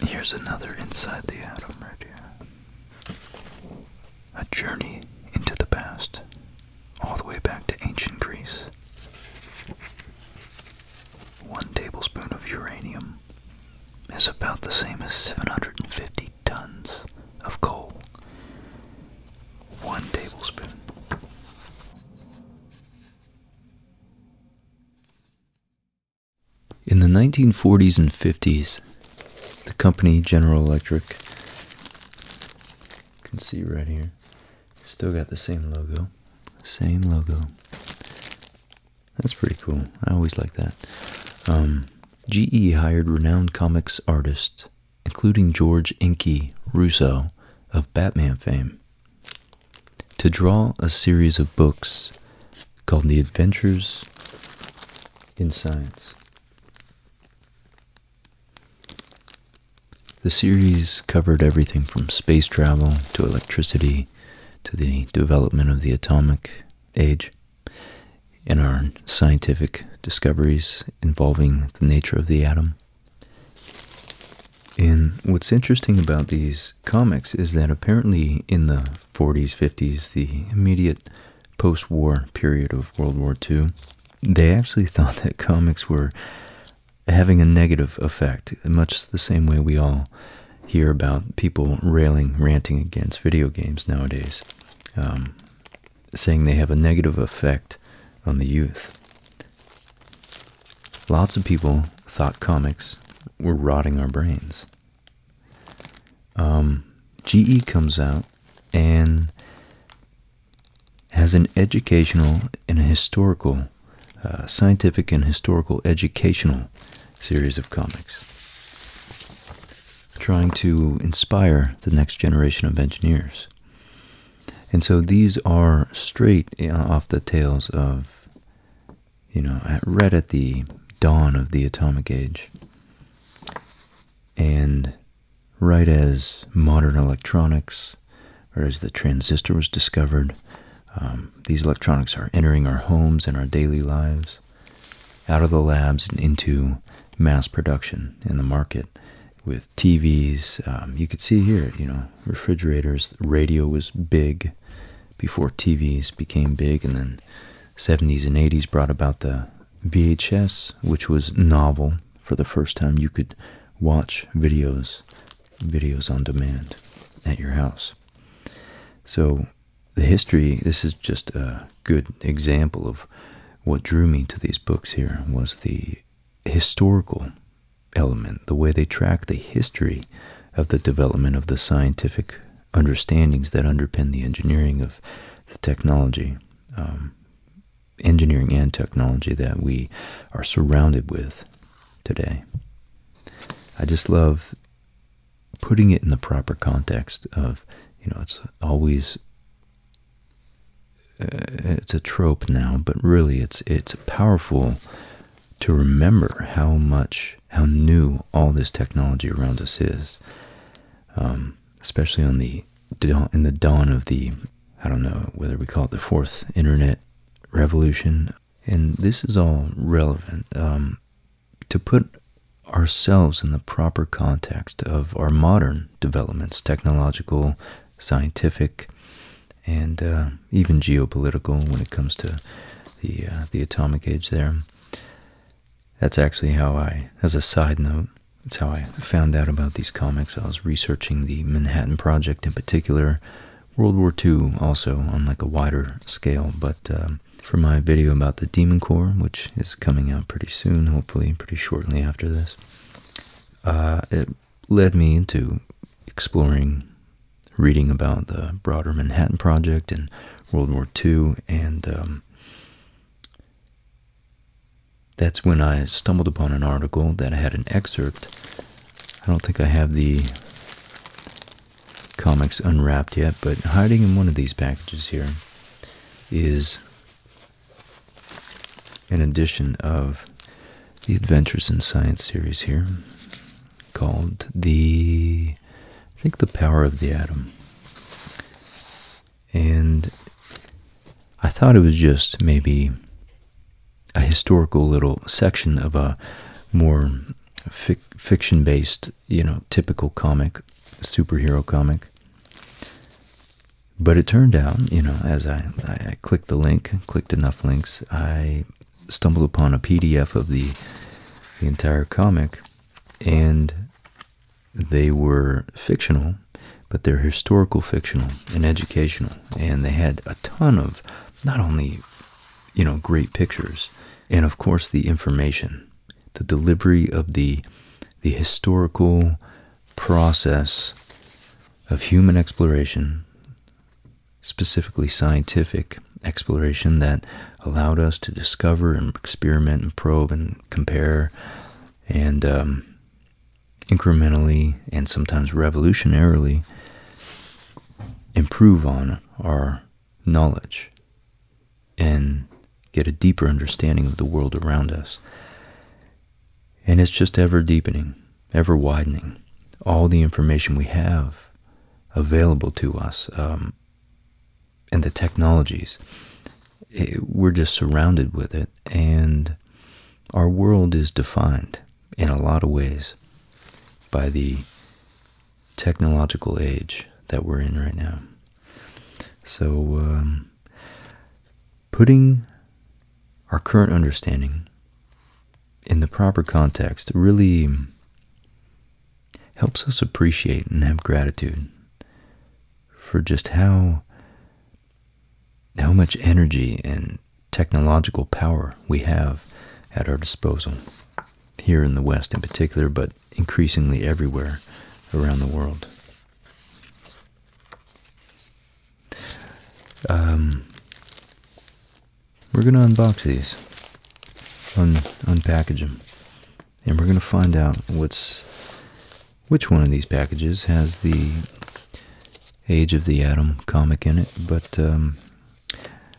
Here's another inside the atom right here. A journey into the past, all the way back to ancient Greece. One tablespoon of uranium is about the same as 750 tons of coal. One tablespoon. In the 1940s and 50s, the company General Electric, can see right here, still got the same logo. Same logo. That's pretty cool. I always like that. Um, GE hired renowned comics artists, including George Inky Russo of Batman fame to draw a series of books called The Adventures in Science. The series covered everything from space travel to electricity to the development of the atomic age and our scientific discoveries involving the nature of the atom. And what's interesting about these comics is that apparently in the 40s, 50s, the immediate post war period of World War II, they actually thought that comics were having a negative effect, much the same way we all hear about people railing, ranting against video games nowadays, um, saying they have a negative effect on the youth. Lots of people thought comics were rotting our brains. Um, GE comes out and has an educational and a historical, uh, scientific and historical educational series of comics, trying to inspire the next generation of engineers. And so these are straight uh, off the tails of you know, at, right at the dawn of the atomic age. And right as modern electronics, or as the transistor was discovered, um, these electronics are entering our homes and our daily lives, out of the labs and into mass production in the market with TVs. Um, you could see here, you know, refrigerators, radio was big, before TVs became big, and then 70s and 80s brought about the VHS, which was novel for the first time. You could watch videos, videos on demand at your house. So the history, this is just a good example of what drew me to these books here was the historical element, the way they track the history of the development of the scientific understandings that underpin the engineering of the technology, um, engineering and technology that we are surrounded with today. I just love putting it in the proper context of, you know, it's always uh, it's a trope now, but really it's it's a powerful to remember how much, how new all this technology around us is, um, especially on the in the dawn of the, I don't know whether we call it the fourth internet revolution, and this is all relevant um, to put ourselves in the proper context of our modern developments, technological, scientific, and uh, even geopolitical when it comes to the uh, the atomic age. There, that's actually how I, as a side note, that's how I found out about these comics. I was researching the Manhattan Project in particular, World War II also on like a wider scale. But um, for my video about the Demon Core, which is coming out pretty soon, hopefully pretty shortly after this, uh, it led me into exploring reading about the broader Manhattan Project and World War II, and um, that's when I stumbled upon an article that had an excerpt. I don't think I have the comics unwrapped yet, but hiding in one of these packages here is an edition of the Adventures in Science series here called the I think the power of the atom. And I thought it was just maybe a historical little section of a more fiction-based, you know, typical comic, superhero comic. But it turned out, you know, as I clicked the link, clicked enough links, I stumbled upon a PDF of the the entire comic, and they were fictional, but they're historical fictional and educational, and they had a ton of not only you know great pictures, and of course the information, the delivery of the the historical process of human exploration specifically scientific exploration that allowed us to discover and experiment and probe and compare and um, incrementally and sometimes revolutionarily improve on our knowledge and get a deeper understanding of the world around us. And it's just ever deepening, ever widening. All the information we have available to us, um, and the technologies. Eh, we're just surrounded with it, and our world is defined in a lot of ways by the technological age that we're in right now. So, um, putting our current understanding in the proper context really helps us appreciate and have gratitude for just how how much energy and technological power we have at our disposal here in the West in particular, but increasingly everywhere around the world. Um, we're going to unbox these, un unpackage them, and we're going to find out what's which one of these packages has the Age of the Atom comic in it. But um,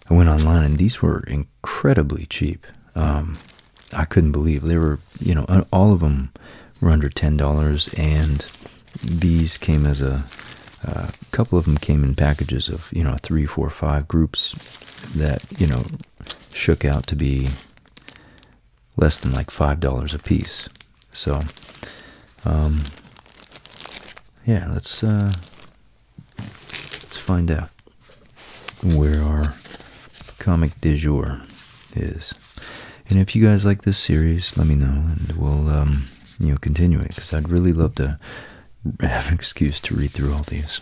I went online, and these were incredibly cheap. Um, I couldn't believe they were, you know, all of them were under ten dollars, and these came as a uh, couple of them came in packages of you know three, four, five groups that you know shook out to be less than like five dollars a piece. So, um, yeah, let's uh, let's find out where our comic du jour is. And if you guys like this series, let me know, and we'll um, you know continue it because I'd really love to have an excuse to read through all these.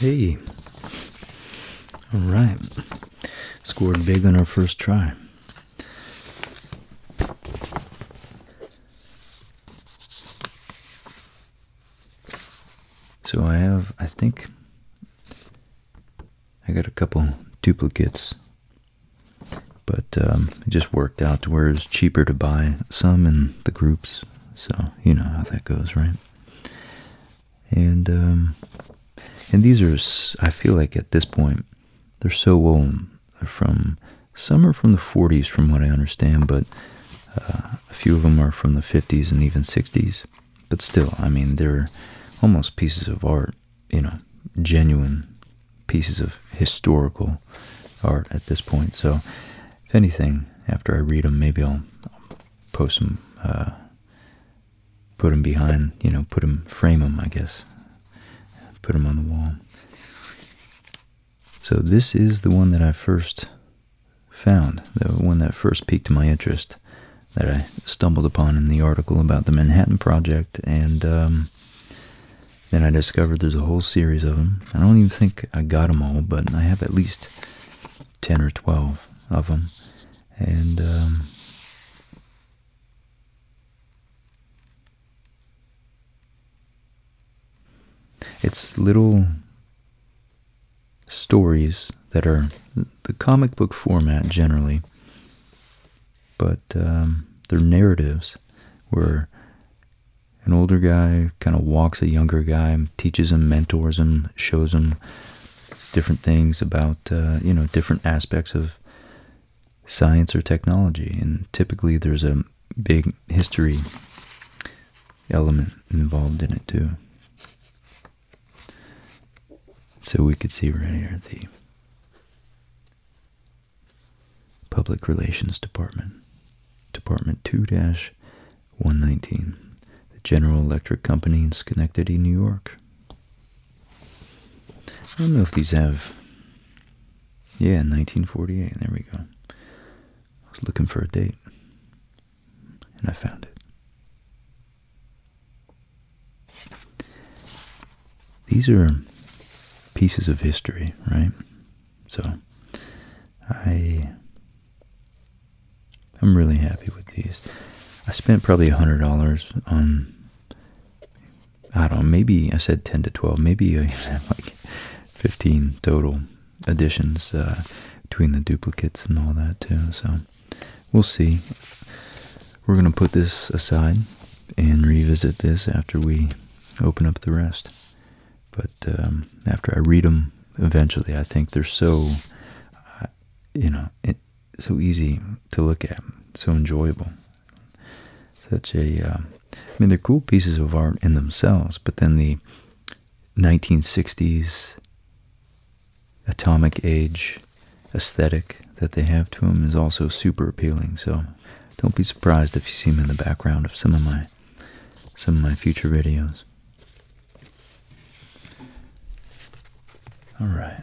Hey. All right. Scored big on our first try. So I have, I think, I got a couple duplicates, but um, it just worked out to where it's cheaper to buy some in the groups. So you know how that goes, right? And um, and these are, I feel like at this point, they're so old. They're from some are from the 40s, from what I understand, but uh, a few of them are from the 50s and even 60s. But still, I mean, they're almost pieces of art, you know, genuine pieces of historical art at this point. So, if anything, after I read them, maybe I'll, post them, uh, put them behind, you know, put them, frame them, I guess, put them on the wall. So this is the one that I first found, the one that first piqued my interest, that I stumbled upon in the article about the Manhattan Project, and um, then I discovered there's a whole series of them. I don't even think I got them all, but I have at least 10 or 12 of them, and... Um, it's little stories that are the comic book format generally, but um, they're narratives where an older guy kind of walks a younger guy, teaches him, mentors him, shows him different things about, uh, you know, different aspects of science or technology. And typically there's a big history element involved in it too. So we could see right here the Public Relations Department, Department 2-119, the General Electric Company in Schenectady, New York. I don't know if these have, yeah, 1948, there we go. I was looking for a date, and I found it. These are pieces of history, right? So, I I'm really happy with these. I spent probably a hundred dollars on I don't know, maybe I said ten to twelve, maybe I have like fifteen total additions uh, between the duplicates and all that too. So we'll see. We're going to put this aside and revisit this after we open up the rest. But um, after I read them eventually, I think they're so, uh, you know, so easy to look at, so enjoyable. Such a, uh, I mean, they're cool pieces of art in themselves, but then the 1960s atomic age aesthetic that they have to him is also super appealing. So don't be surprised if you see him in the background of some of my some of my future videos. All right.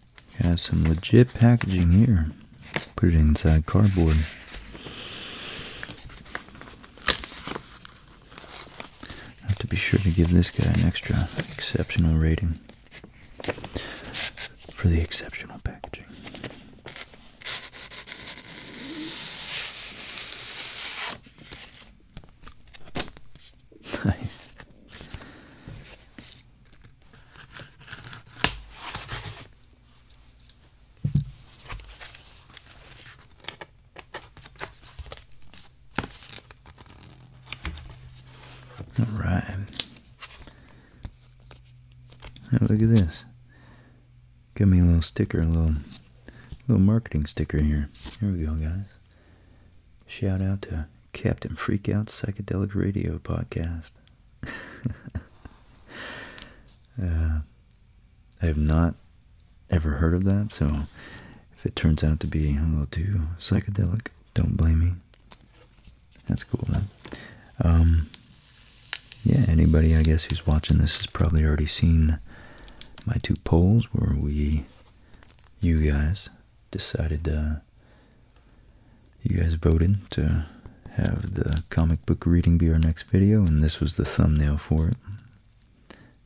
Has some legit packaging here. Put it inside cardboard. I have to be sure to give this guy an extra exceptional rating for the exceptional packaging. Nice. All right. look at this. Give me a little sticker, a little, little marketing sticker here. Here we go, guys. Shout out to Captain Freakout's Psychedelic Radio Podcast. Uh, I have not ever heard of that, so if it turns out to be a little too psychedelic, don't blame me. That's cool, then. Um, yeah, anybody I guess who's watching this has probably already seen my two polls where we, you guys, decided uh, you guys voted to have the comic book reading be our next video, and this was the thumbnail for it.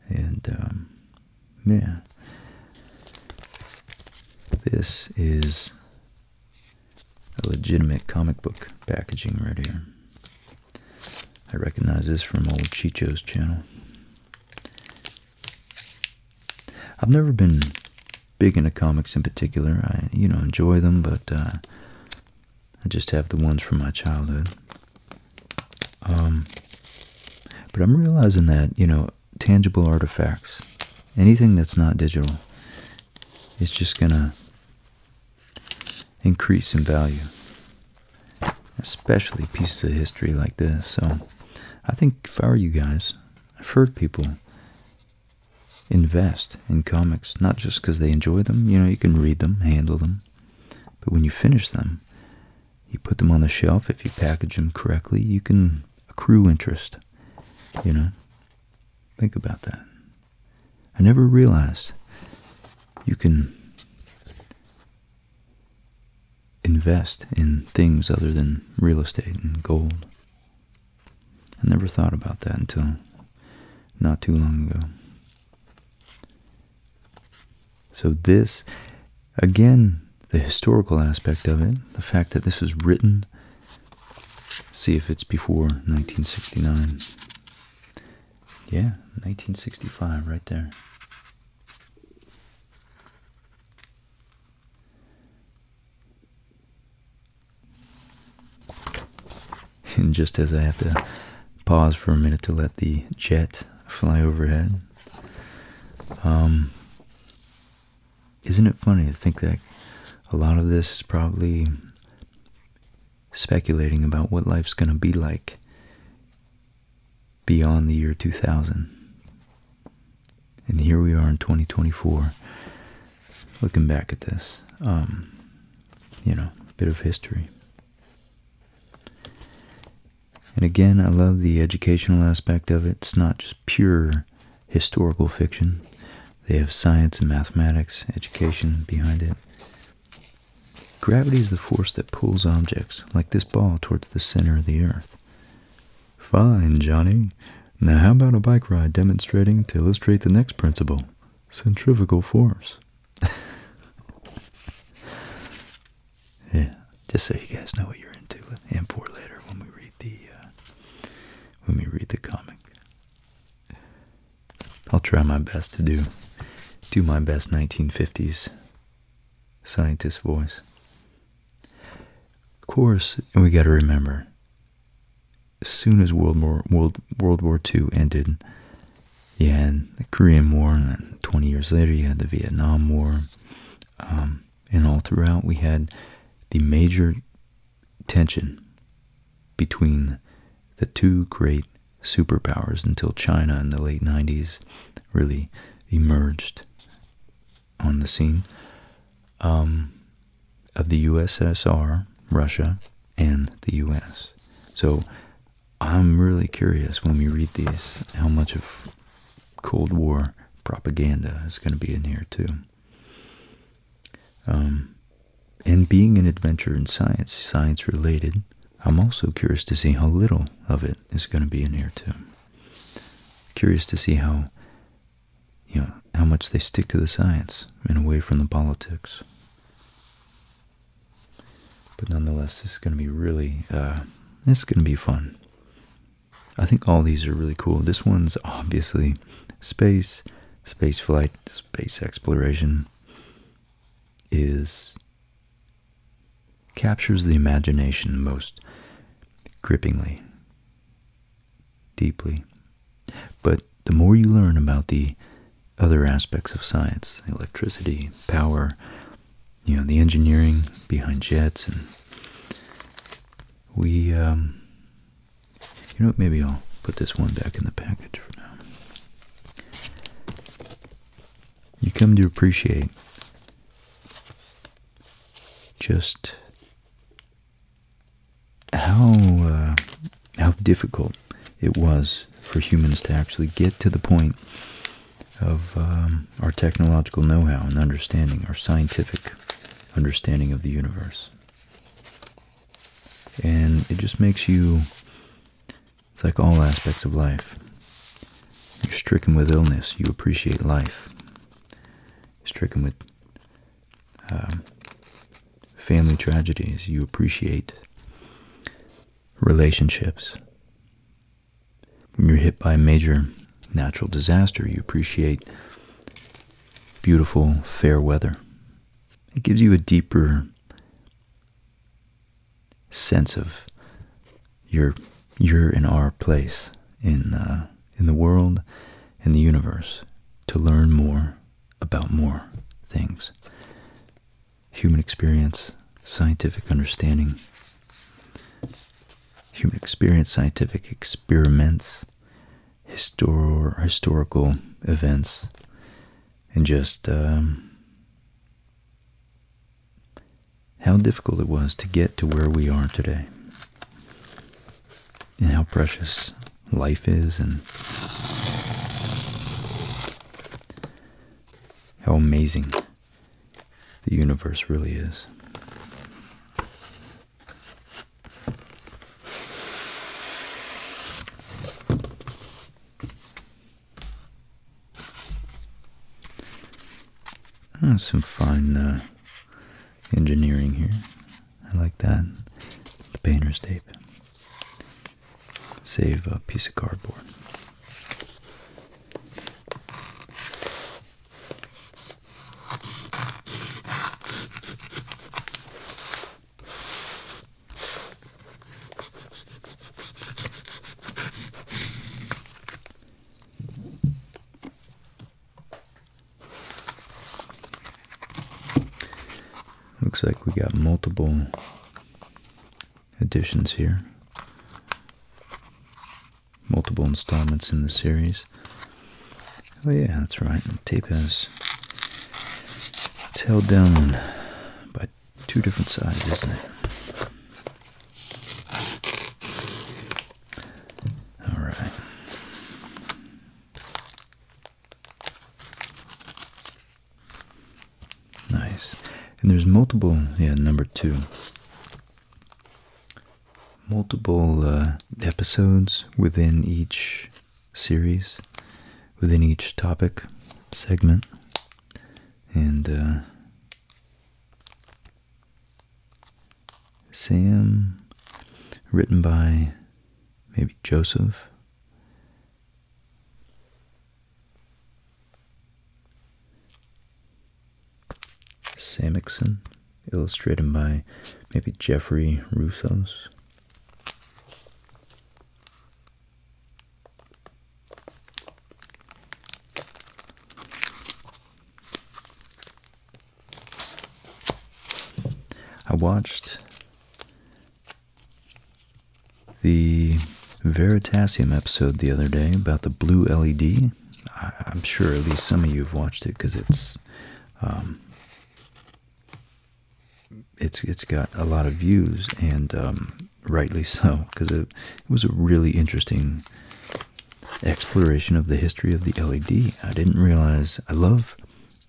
And, um, This is a legitimate comic book packaging right here. I recognize this from old Chicho's channel. I've never been big into comics in particular. I, you know, enjoy them, but uh, I just have the ones from my childhood. Um, but I'm realizing that, you know, tangible artifacts, anything that's not digital, is just going to increase in value, especially pieces of history like this. So I think if I were you guys, I've heard people invest in comics, not just because they enjoy them. You know, you can read them, handle them, but when you finish them, you put them on the shelf. If you package them correctly, you can accrue interest. You know, think about that. I never realized you can invest in things other than real estate and gold. I never thought about that until not too long ago. So this, again, the historical aspect of it, the fact that this was written, see if it's before 1969. Yeah, 1965 right there. And just as I have to pause for a minute to let the jet fly overhead, um, isn't it funny to think that a lot of this is probably speculating about what life's going to be like beyond the year 2000? And here we are in 2024, looking back at this, um, you know, a bit of history. And again, I love the educational aspect of it. It's not just pure historical fiction. They have science and mathematics, education behind it. Gravity is the force that pulls objects, like this ball, towards the center of the earth. Fine, Johnny. Now how about a bike ride demonstrating to illustrate the next principle? centrifugal force. yeah, just so you guys know what you're into, and for later when we read the uh, when we read the comic. I'll try my best to do do my best 1950s scientist voice. Of course, we got to remember as soon as World War World World War II ended, you had the Korean War, and 20 years later you had the Vietnam War, um, and all throughout we had the major tension between the two great superpowers until China in the late 90s really emerged on the scene. Um, of the USSR, Russia, and the US. So I'm really curious when we read these how much of Cold War propaganda is going to be in here too. Um, and being an adventure in science, science related, I'm also curious to see how little of it is going to be in here too. Curious to see how you know, how much they stick to the science and away from the politics. But nonetheless, this is going to be really, uh, this is going to be fun. I think all these are really cool. This one's obviously space, space flight, space exploration is captures the imagination most grippingly deeply. But the more you learn about the other aspects of science, electricity, power, you know, the engineering behind jets, and we, um, you know maybe I'll put this one back in the package for now. You come to appreciate just how uh, how difficult it was for humans to actually get to the point of um, our technological know-how and understanding, our scientific understanding of the universe. And it just makes you, it's like all aspects of life. You're stricken with illness, you appreciate life. You're stricken with um, family tragedies. You appreciate relationships. When you're hit by a major natural disaster, you appreciate beautiful, fair weather. It gives you a deeper sense of your you're in our place in uh, in the world, in the universe, to learn more, about more things human experience, scientific understanding, human experience, scientific experiments, histor historical events, and just um, how difficult it was to get to where we are today, and how precious life is and how amazing the universe really is. Ah, some fine uh, engineering here. I like that. The painter's tape save a piece of cardboard. Looks like we got multiple editions here. Multiple installments in the series. Oh yeah, that's right. The tape has it's held down by two different sides, isn't it? Alright. Nice. And there's multiple, yeah, number two. Multiple uh, episodes within each series, within each topic segment. And uh, Sam, written by maybe Joseph, Samixon, illustrated by maybe Jeffrey Russo's. I watched the Veritasium episode the other day about the blue LED. I'm sure at least some of you have watched it because it's um, it's it's got a lot of views and um, rightly so because it was a really interesting exploration of the history of the LED. I didn't realize I love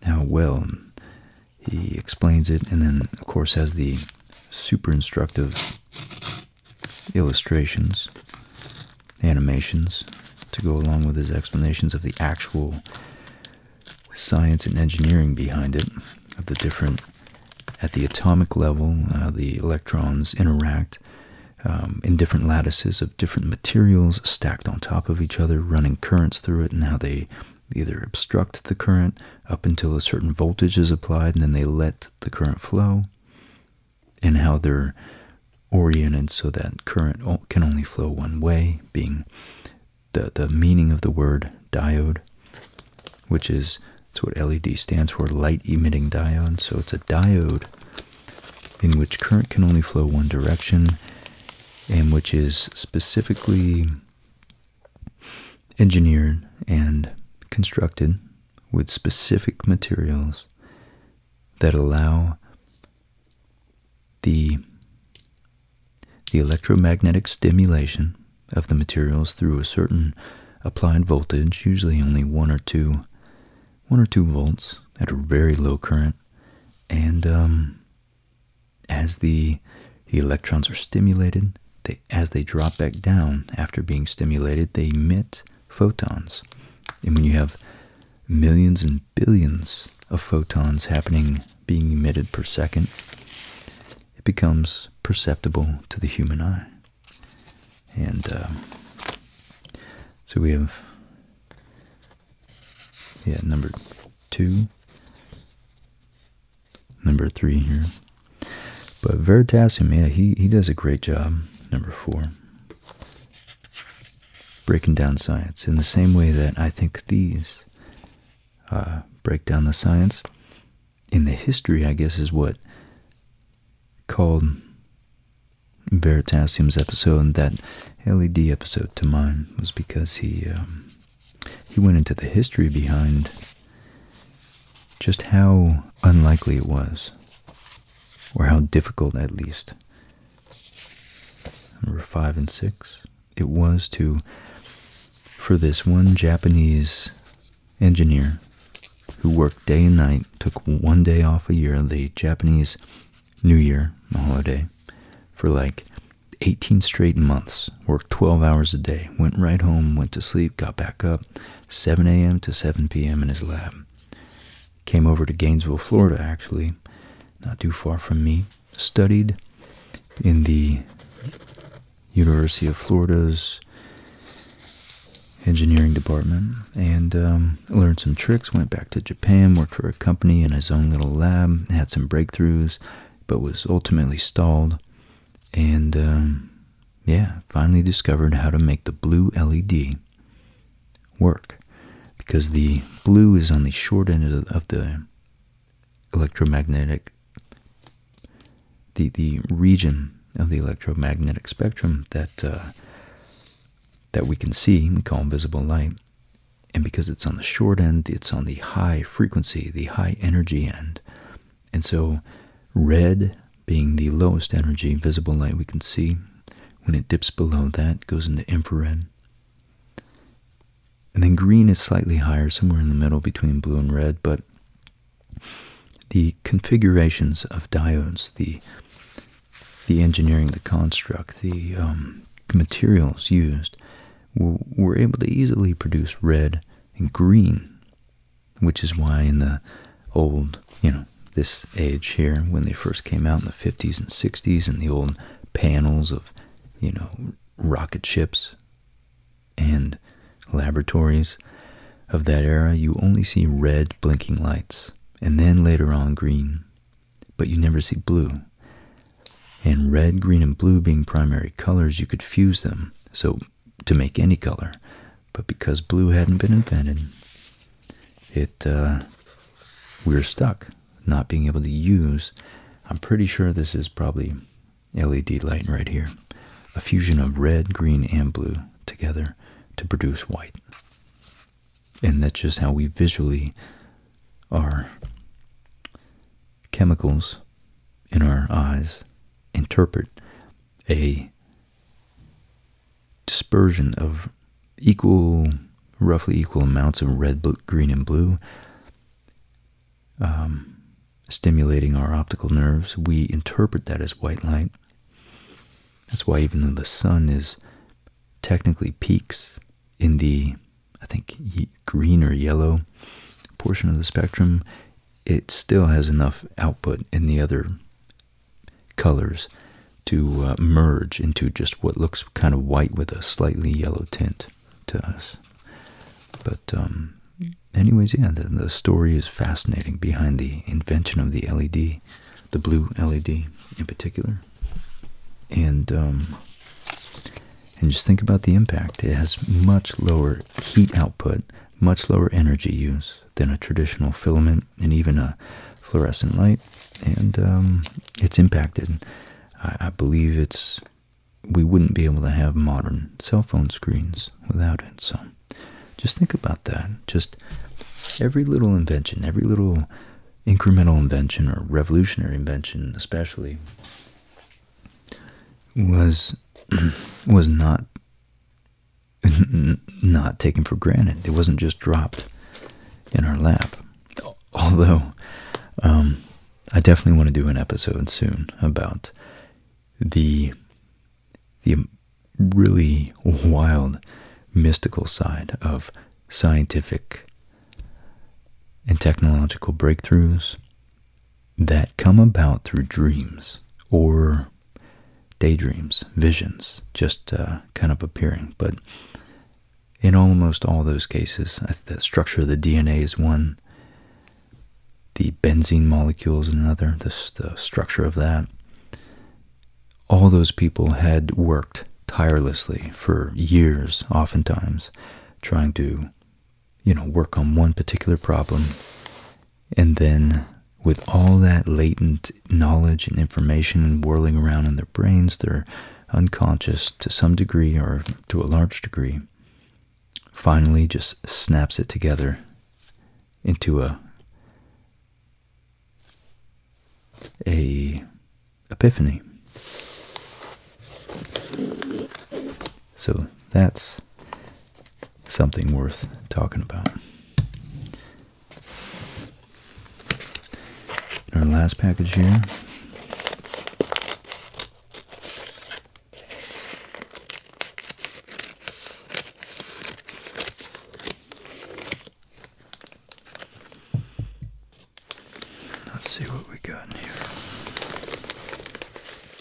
how well he explains it and then, of course, has the super instructive illustrations, animations to go along with his explanations of the actual science and engineering behind it, of the different, at the atomic level, uh, the electrons interact. Um, in different lattices of different materials stacked on top of each other, running currents through it, and how they either obstruct the current up until a certain voltage is applied and then they let the current flow, and how they're oriented so that current can only flow one way, being the, the meaning of the word diode, which is that's what LED stands for, light emitting diode. So it's a diode in which current can only flow one direction and which is specifically engineered and constructed with specific materials that allow the the electromagnetic stimulation of the materials through a certain applied voltage, usually only one or two, one or two volts at a very low current, and um, as the, electrons are stimulated, they, as they drop back down after being stimulated, they emit photons. And when you have millions and billions of photons happening, being emitted per second, it becomes perceptible to the human eye. And uh, so we have, yeah, number two number three here. But Veritasium, yeah, he, he does a great job, number four. Breaking down science in the same way that I think these uh, break down the science. In the history, I guess, is what called Veritasium's episode, and that LED episode to mine, was because he um, he went into the history behind just how unlikely it was, or how difficult at least. Number five and six, it was to, for this one Japanese engineer who worked day and night, took one day off a year, the Japanese New Year, the holiday, for like 18 straight months, worked 12 hours a day, went right home, went to sleep, got back up, 7 a.m. to 7 p.m. in his lab. Came over to Gainesville, Florida, actually, not too far from me, studied in the University of Florida's engineering department and um, learned some tricks. Went back to Japan, worked for a company in his own little lab, had some breakthroughs, but was ultimately stalled and um, yeah, finally discovered how to make the blue LED work because the blue is on the short end of the electromagnetic the the region of the electromagnetic spectrum that uh, that we can see we call visible light and because it's on the short end it's on the high frequency the high energy end and so, red being the lowest energy visible light we can see, when it dips below that, goes into infrared. And then green is slightly higher, somewhere in the middle between blue and red, but the configurations of diodes, the the engineering, the construct, the um, materials used, were able to easily produce red and green, which is why in the old, you know, this age here, when they first came out in the 50s and 60s, and the old panels of, you know, rocket ships and laboratories of that era, you only see red blinking lights, and then later on green, but you never see blue and red, green, and blue being primary colors, you could fuse them so to make any color. But because blue hadn't been invented, it we uh, were stuck not being able to use. I'm pretty sure this is probably LED light right here, a fusion of red, green, and blue together to produce white. And that's just how we visually are chemicals in our eyes interpret a dispersion of equal, roughly equal amounts of red, green, and blue, um, stimulating our optical nerves. We interpret that as white light. That's why even though the sun is technically peaks in the, I think, the green or yellow portion of the spectrum, it still has enough output in the other colors to uh, merge into just what looks kind of white with a slightly yellow tint to us. But, um, anyways, yeah, the, the story is fascinating behind the invention of the LED, the blue LED in particular. And, um, and just think about the impact. It has much lower heat output, much lower energy use than a traditional filament and even a fluorescent light. And um, it's impacted. I, I believe it's we wouldn't be able to have modern cell phone screens without it. So just think about that. Just every little invention, every little incremental invention or revolutionary invention, especially, was was not not taken for granted. It wasn't just dropped in our lap. Although, um, I definitely want to do an episode soon about the the really wild mystical side of scientific and technological breakthroughs that come about through dreams or daydreams, visions, just uh, kind of appearing. But in almost all those cases, the structure of the DNA is one, the benzene molecule is another, the structure of that. All those people had worked tirelessly for years, oftentimes, trying to you know, work on one particular problem. And then, with all that latent knowledge and information whirling around in their brains, they're unconscious to some degree or to a large degree, finally just snaps it together into a a epiphany. So that's something worth talking about. our last package here. Let's see what we got in here.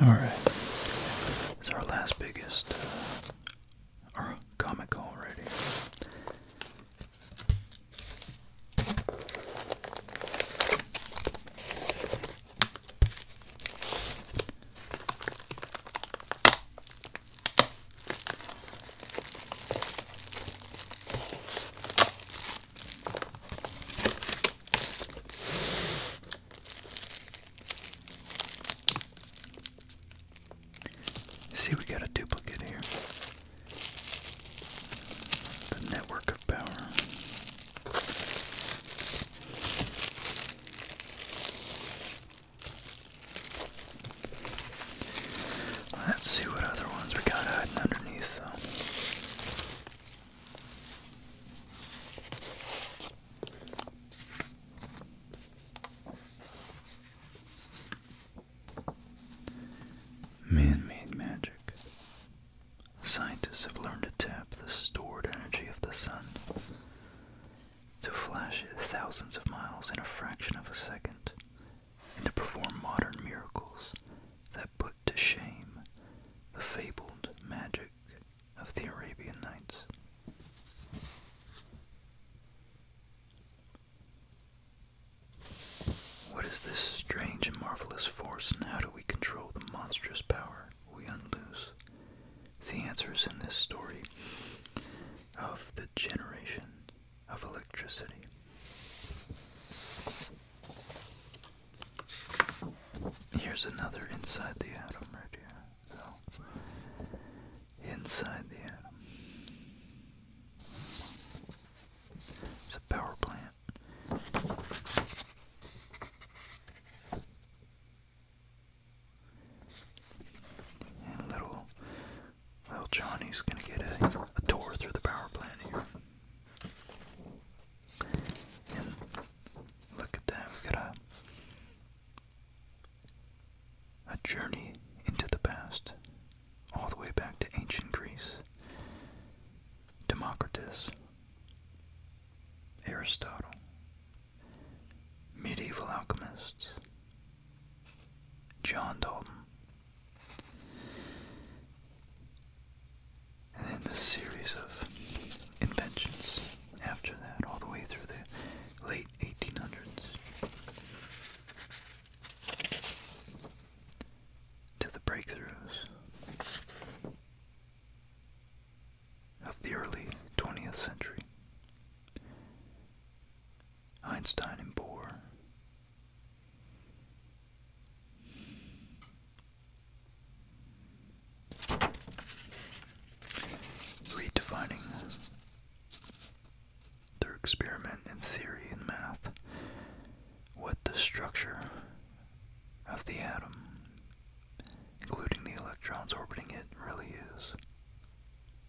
All right, it's our last biggest uh, comic already. See, we got a duplicate here. The network of power. Let's see what other ones we got hidden underneath though. Man-made magic. Scientists have learned to tap the stored energy of the sun to flash thousands of miles in a fraction of a second, and to perform modern miracles that put to shame the fabled magic of the Arabian Nights. What is this strange and marvelous force, and how do we control the monstrous power we unloose? The answer is in this story of the generation of electricity. Here's another inside the atom right here. inside the atom. It's a power plant. And little well, Johnny's gonna get a, tour through the power plant here. And look at that, we got a journey into the past, all the way back to ancient Greece. Democritus, Aristotle, medieval alchemists, John Dalton. And then this series of inventions after that, all the way through the late 1800s to the breakthroughs of the early 20th century. Einstein and Bohr. Redefining their experiment in theory and math, what the structure of the atom, including the electrons orbiting it, really is.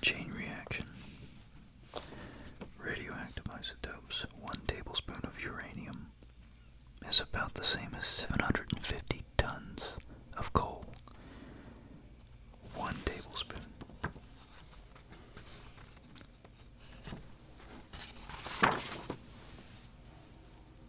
Chain reaction. Radioactive isotopes. One tablespoon of uranium is about the same as 750 tons of coal. One tablespoon.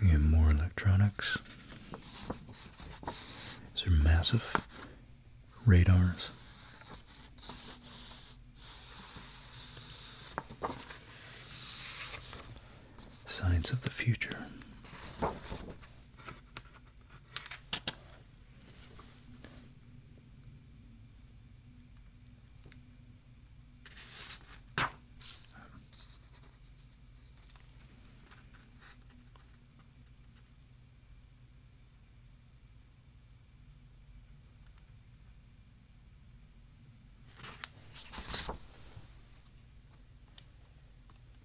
Again, more electronics. These are massive radars. Signs of the Future.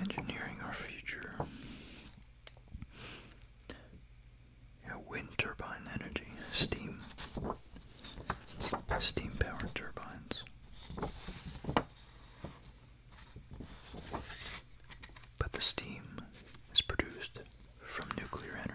Engineering our future you wind turbine energy, steam, steam powered turbines. But the steam is produced from nuclear energy.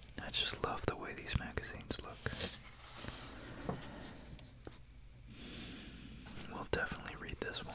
I just love the way these magazines look. We'll definitely read this one.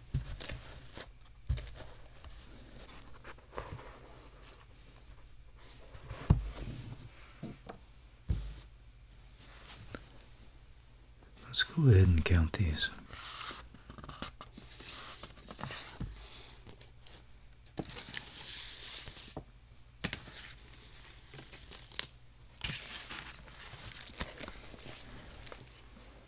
Let's go ahead and count these.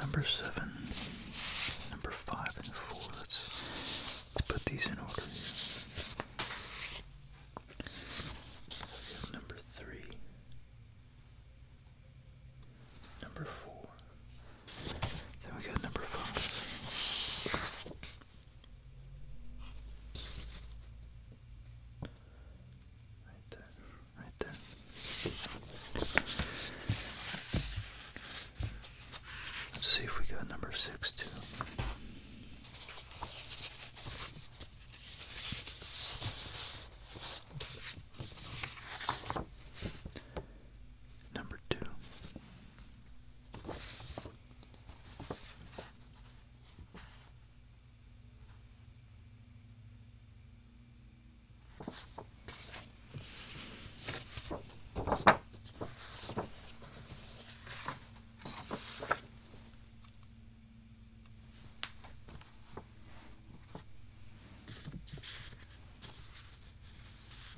Number seven, number five, and four. Let's let's put these in order number three, Number four. Then we got number five. Right there, right there. Let's see if we got number six too. Number two.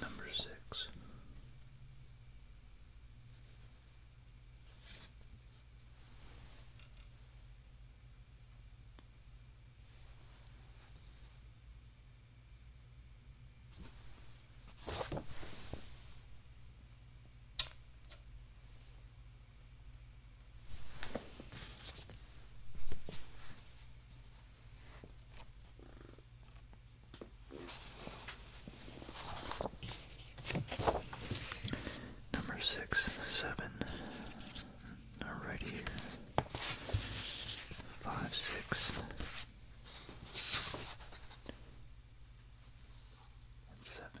Number six. Number six, seven, are right here. Five, six, and seven.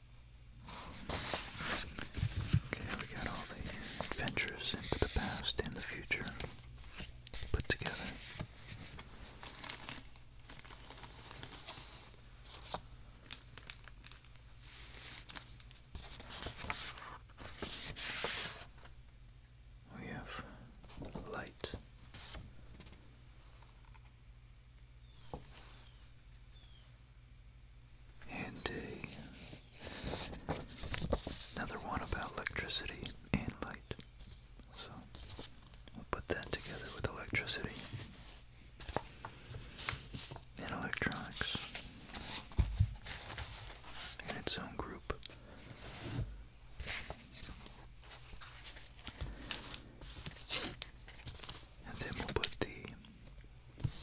Okay, we got all the adventures into the past and the future put together. We have light and a, another one about electricity and light. So we'll put that together with electricity and electronics in its own group and then we'll put the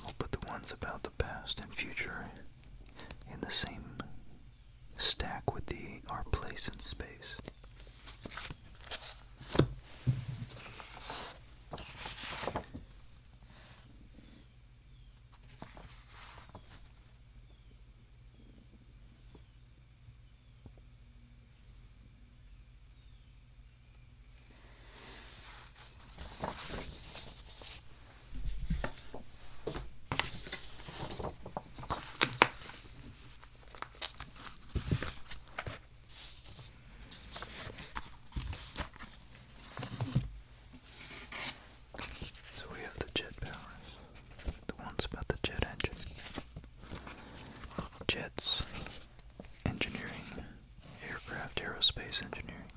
we'll put the ones about the past and future in the same stack with the our place in space. So we have the jet powers, the ones about the jet engine, jets, engineering, aircraft aerospace engineering,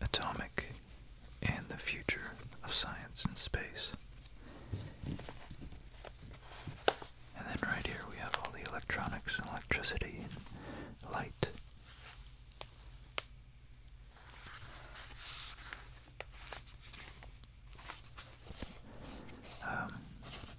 atomic, and the future of science and space. And then right here we have all the electronics and electricity and light. Um,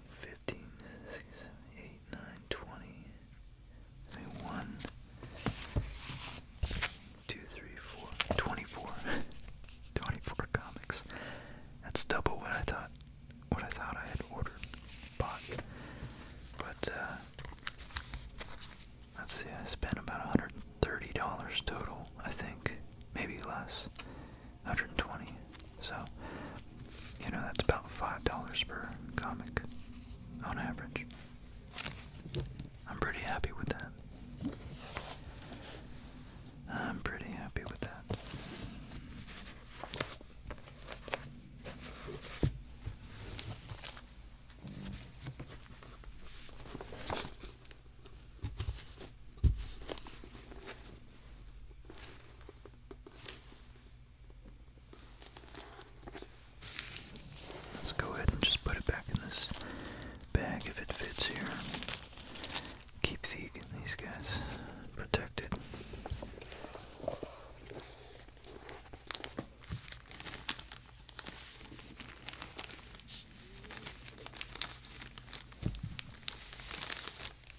14, comics. That's double what I thought what I thought I had ordered, bought. But uh let's see, I spent about a $130 total, I think. Maybe less. 120 so you know that's about five dollars per comic on average i'm pretty happy with that i'm pretty happy with that Let's go ahead and just put it back in this bag if it fits here. Keep these guys protected.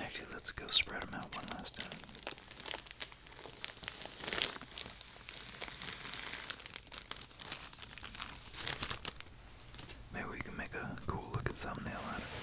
Actually, let's go spread them out one last time. Maybe we can make a cool looking thumbnail out of it.